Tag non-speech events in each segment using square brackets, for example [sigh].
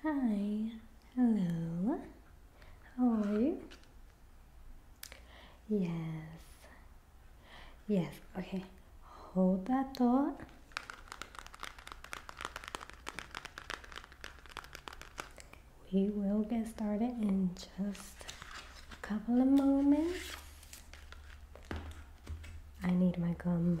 Hi, hello, how are you? Yes, yes, okay, hold that thought. We will get started in just a couple of moments. I need my gum.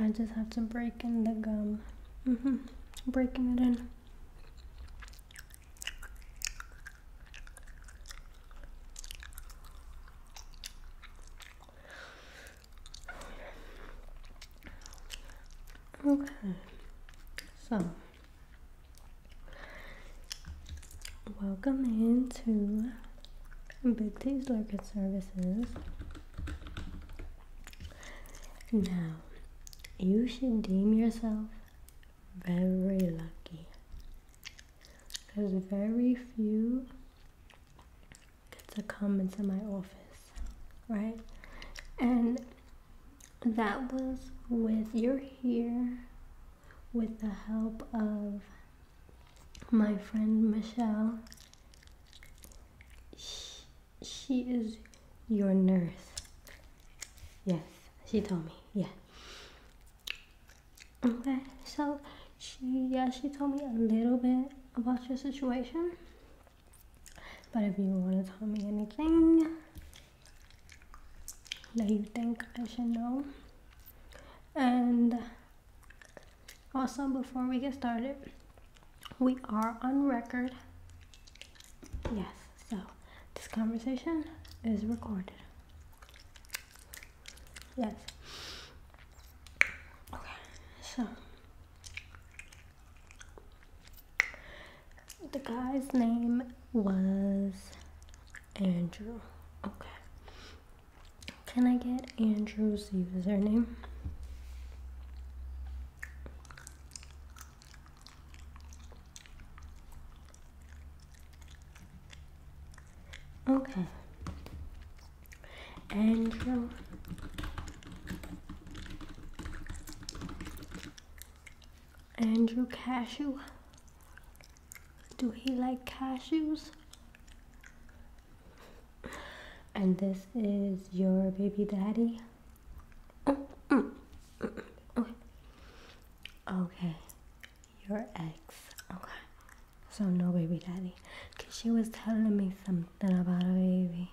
I just have to break in the gum. Mm hmm Breaking it in. Okay. So Welcome into Big T's Services. Now, you should deem yourself very lucky because very few get to come into my office, right? And that was with your here, with the help of my friend Michelle. She, she is your nurse. Yes, she told me. Yeah. Okay, so she yeah she told me a little bit about your situation. But if you want to tell me anything, you think I should know, and also before we get started we are on record yes so this conversation is recorded yes okay so the guy's name was Andrew. Okay. Can I get Andrew's username? Okay. Andrew Andrew Cashew. Do he like cashews? And this is your baby daddy. Okay, your ex. Okay, so no baby daddy. Cause she was telling me something about a baby.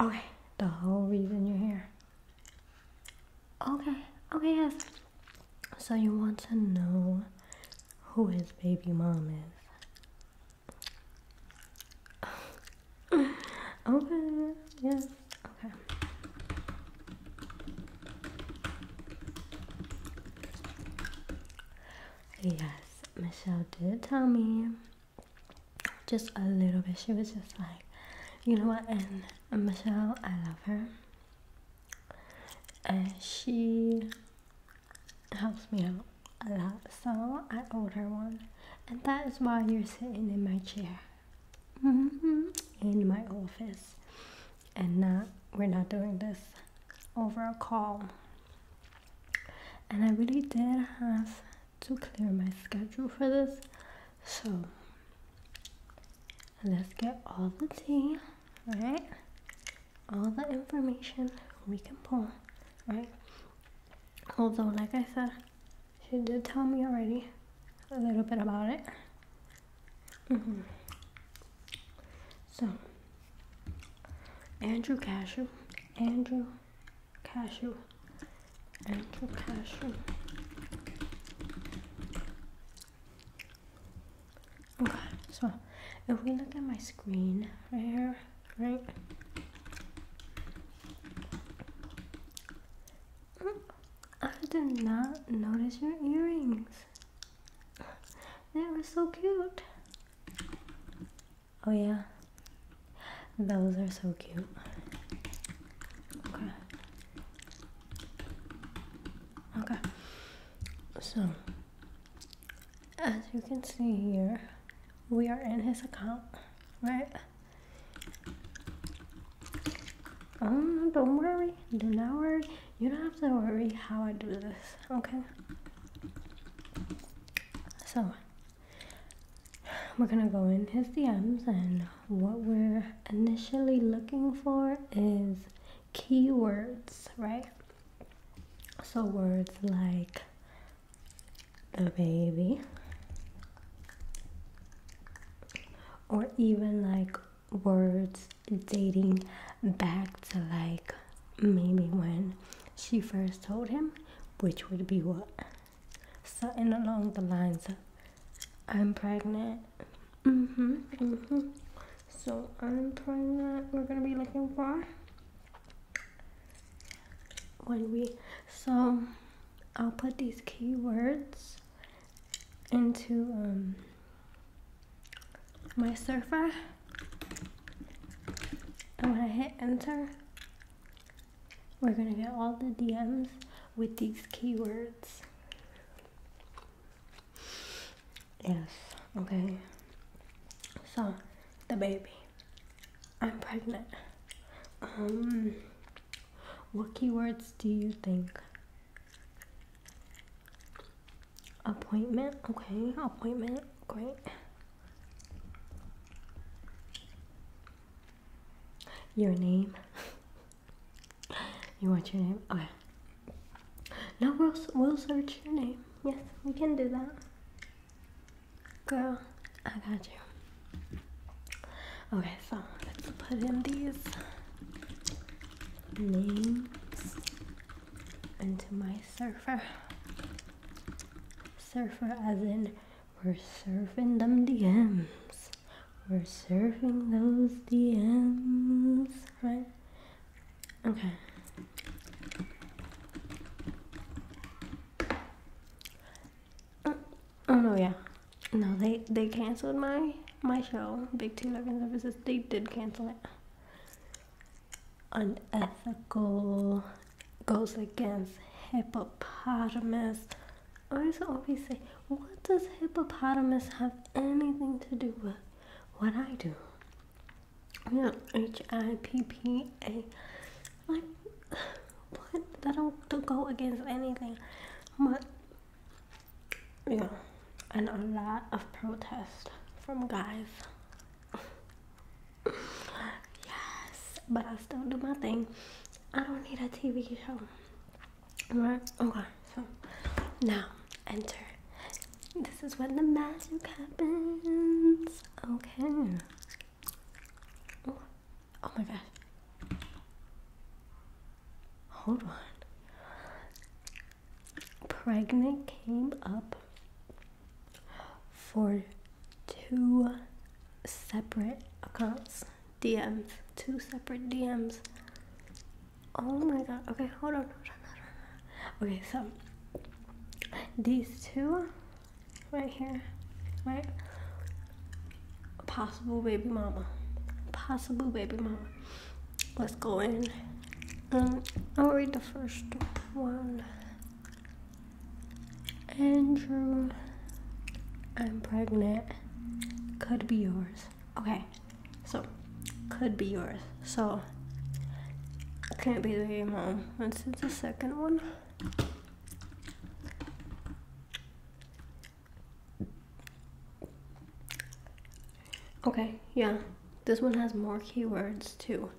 Okay, the whole reason you're here. Okay, okay, yes. So you want to know who his baby mom is? [laughs] okay, yes, okay. Yes, Michelle did tell me just a little bit. She was just like, you know what? And Michelle, I love her, and she helps me out a lot. So I owed her one, and that is why you're sitting in my chair, mm-hmm. in my office, and not we're not doing this over a call. And I really did have to clear my schedule for this. So let's get all the tea, alright? All the information we can pull, right? Although, like I said, she did tell me already a little bit about it. Mm-hmm. So, Andrew Cashew, Andrew cashew, ankle cashew. so if we look at my screen right here, right? Mm, I did not notice your earrings. They were so cute. Oh yeah. Those are so cute. Okay. Okay. So as you can see here, we are in his account, right? Um, don't worry, do not worry. You don't have to worry how I do this, okay? So we're gonna go in his DMs and what we're initially looking for is keywords, right? So words like the baby or even like words dating back to like maybe when she first told him, which would be what? something along the lines of I'm pregnant. hmm hmm So I'm pregnant. We're gonna be looking for when we so I'll put these keywords into um my surfer and when I hit enter we're gonna get all the DMs with these keywords. Yes, okay. So, the baby. I'm pregnant. Um, what keywords do you think? Appointment, okay, appointment, great. Your name? you want your name? Okay. No, we'll, we'll search your name. Yes, we can do that. Girl, I got you. Okay, so let's put in these names into my surfer. Surfer as in we're serving them DMs. We're serving those DMs, right? Okay. Uh, oh, no, yeah. No, they they canceled my my show, Big Teen Love Services. They did cancel it. Unethical goes against hippopotamus. I was always saying, what does hippopotamus have anything to do with what I do? Yeah, H I P P A. Like, what? That don't go against anything. But, yeah, and a lot of protest from guys yes, but I still do my thing. I don't need a TV show. Right? Okay, so now enter. This is when the magic happens. Okay. oh, oh my gosh. Hold on. Pregnant came up for two separate accounts, DMs, two separate DMs. Oh my god. Okay, hold on. Hold on, Okay, so these two right here, right? Possible baby mama. Possible baby mama. Let's go in. Um, I'll read the first one. Andrew, I'm pregnant. Could be yours. Okay, so could be yours. So can't be the mom. Let's do the second one. Okay, yeah. This one has more keywords too.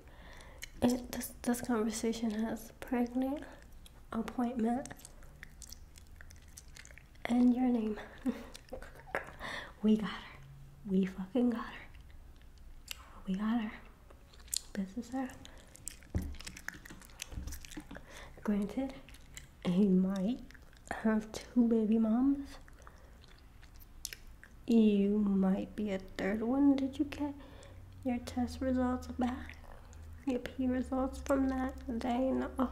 this, this conversation has pregnant appointment and your name. [laughs] we got her. We fucking got her. We got her. This is her. Granted, he might have two baby moms. You might be a third one. Did you get your test results back? Your P results from that day? No. Oh,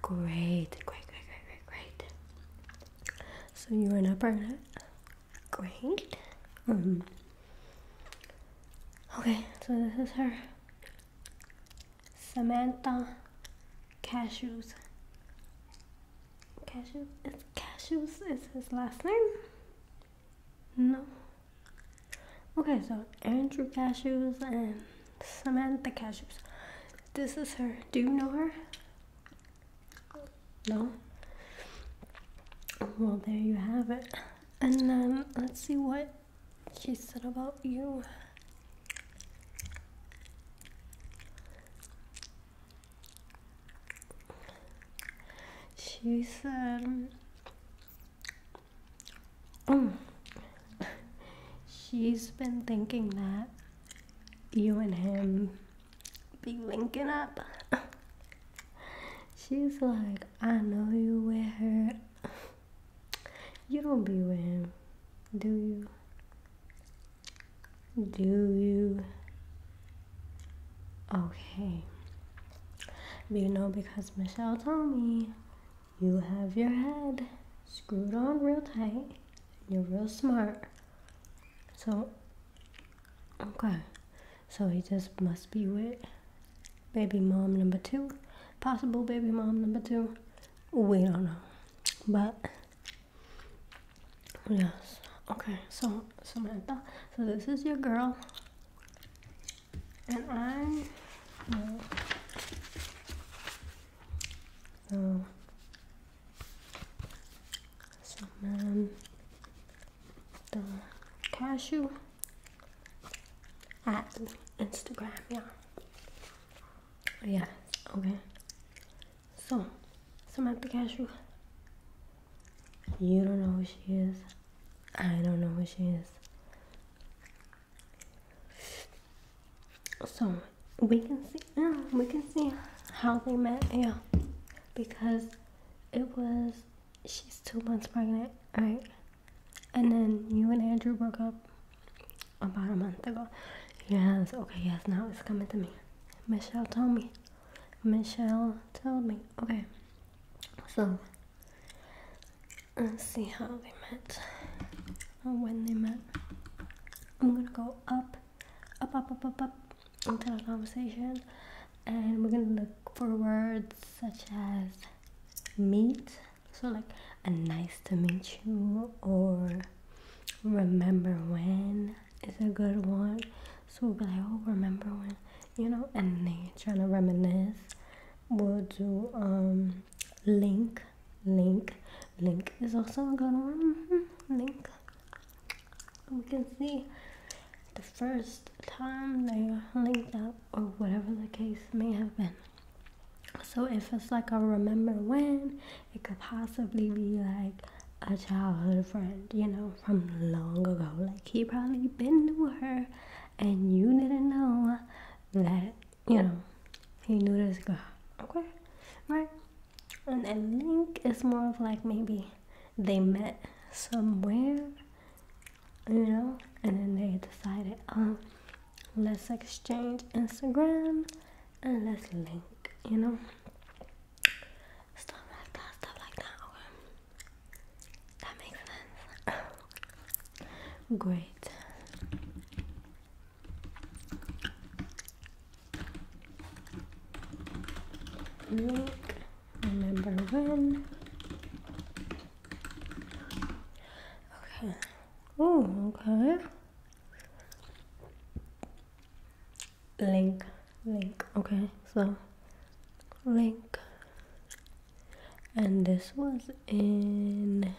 great, great, great, great, great, great. So you are not pregnant. Great. Um, okay, so this is her. Samantha Cashews. Cashews? It's Cashews is his last name. No. Okay, so Andrew Cashews and Samantha Cashews. This is her. Do you know her? No? Well, there you have it. And then let's see what she said about you she um, said [laughs] she's been thinking that you and him be linking up. [laughs] She's like, I know you with her. [laughs] You don't be with him, do you? Do you? Okay. You know, because Michelle told me you have your head screwed on real tight. You're real smart. So, okay. So he just must be with baby mom number two. Possible baby mom number two. We don't know. But Yes. Okay, so Samantha, so this is your girl. And I know. So Samantha Cashew at Instagram, yeah. Yes, okay. So Samantha Cashew you don't know who she is. I don't know who she is. So we can see, we can see how they met, yeah, because it was she's two months pregnant, right? And then you and Andrew broke up about a month ago. Yes, okay, yes, now it's coming to me. Michelle told me Michelle told me. Okay, so let's see how they met or when they met. I'm gonna go up, up, up, up, up, up into the conversation, and we're gonna look for words such as meet, so like a nice to meet you, or remember when, is a good one. So we'll be like, oh, remember when, you know, and they trying to reminisce. We'll do um, link, link, link is also a good one. Mm-hmm, link. We can see the first time they linked up or whatever the case may have been. So if it's like a remember when, it could possibly be like a childhood friend, you know, from long ago. Like he probably been to her and you didn't know that, you know, he knew this guy. Okay? Right? And I link is more of like maybe they met somewhere, you know, and then they decided, oh, let's exchange Instagram and let's link, you know stuff like that, stuff like that, That makes sense. Great. remember when? Okay. Oh, okay. Link link okay so link and this was in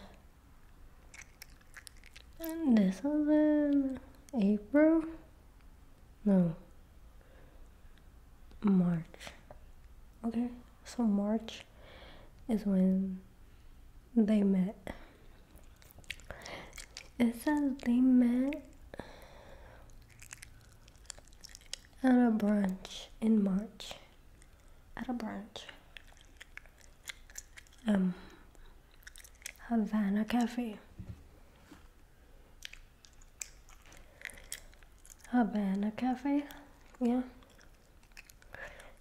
and this was in April no March okay so March is when they met says they met at a brunch in March. At a brunch. Um, Havana Cafe. Havana Cafe? Yeah.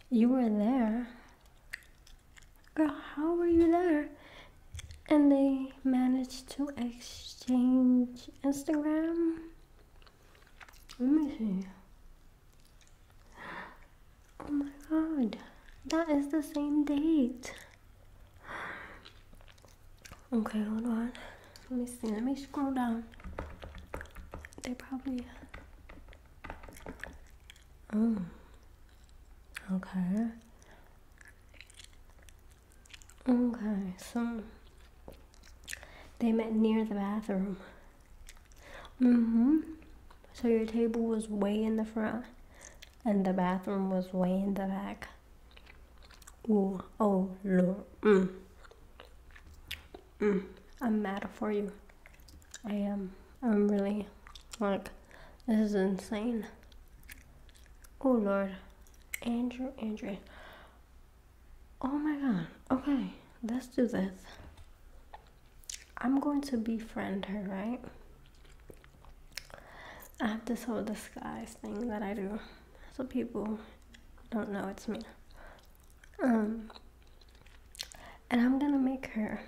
You were there. Girl, how were you there? And they managed to exchange Instagram. Let me see. Oh my god, that is the same date. Okay, hold on. Let me see. Let me scroll down. They probably. Oh. Okay. Okay, so they met near the bathroom. Mm-hmm. So your table was way in the front and the bathroom was way in the back. Ooh, oh lord. Mm. Mm. I'm mad for you. I am. I'm really like this is insane. Oh Lord, Andrew, Andrew. Oh my God. Okay, let's do this. I'm going to befriend her, right? I have this whole disguise thing that I do, so people don't know it's me. Um, and I'm gonna make her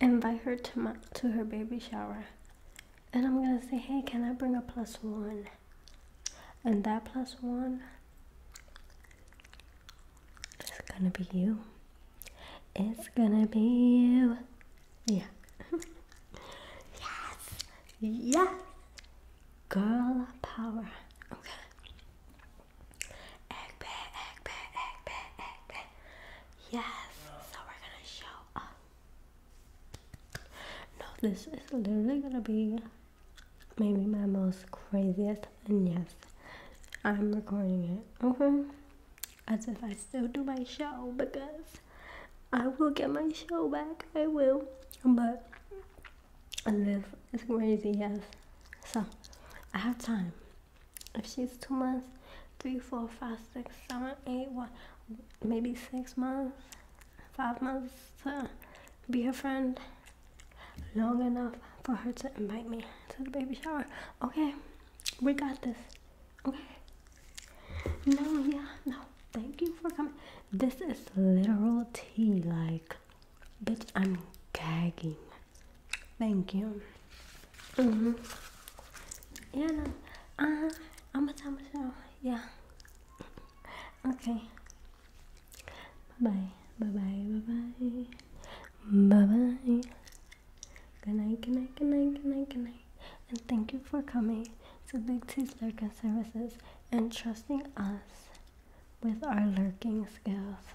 invite her to my to her baby shower and i'm gonna say hey can i bring a plus one and that plus one is gonna be you it's gonna be you yeah [laughs] yes yes girl power okay Yes, so we're gonna show No, this is literally gonna be maybe my most craziest, and yes, I'm recording it. Okay, as if I still do my show because I will get my show back. I will, but this is crazy. Yes, so I have time if she's two months, three, four, five, six, seven, eight, one, maybe six months, five months to be her friend long enough for her to invite me to the baby shower. Okay, we got this. Okay. No, yeah, no. Thank you for coming. This is literal tea. Like, bitch, I'm gagging. Thank you. Mm-hmm. Yeah, no. uh I'm going to time myself. Yeah. Okay. Bye-bye. Bye-bye. Bye-bye. Bye-bye. Good night, good night, good night, good night, good night. And thank you for coming to Big T's Lurking Services and trusting us with our lurking skills.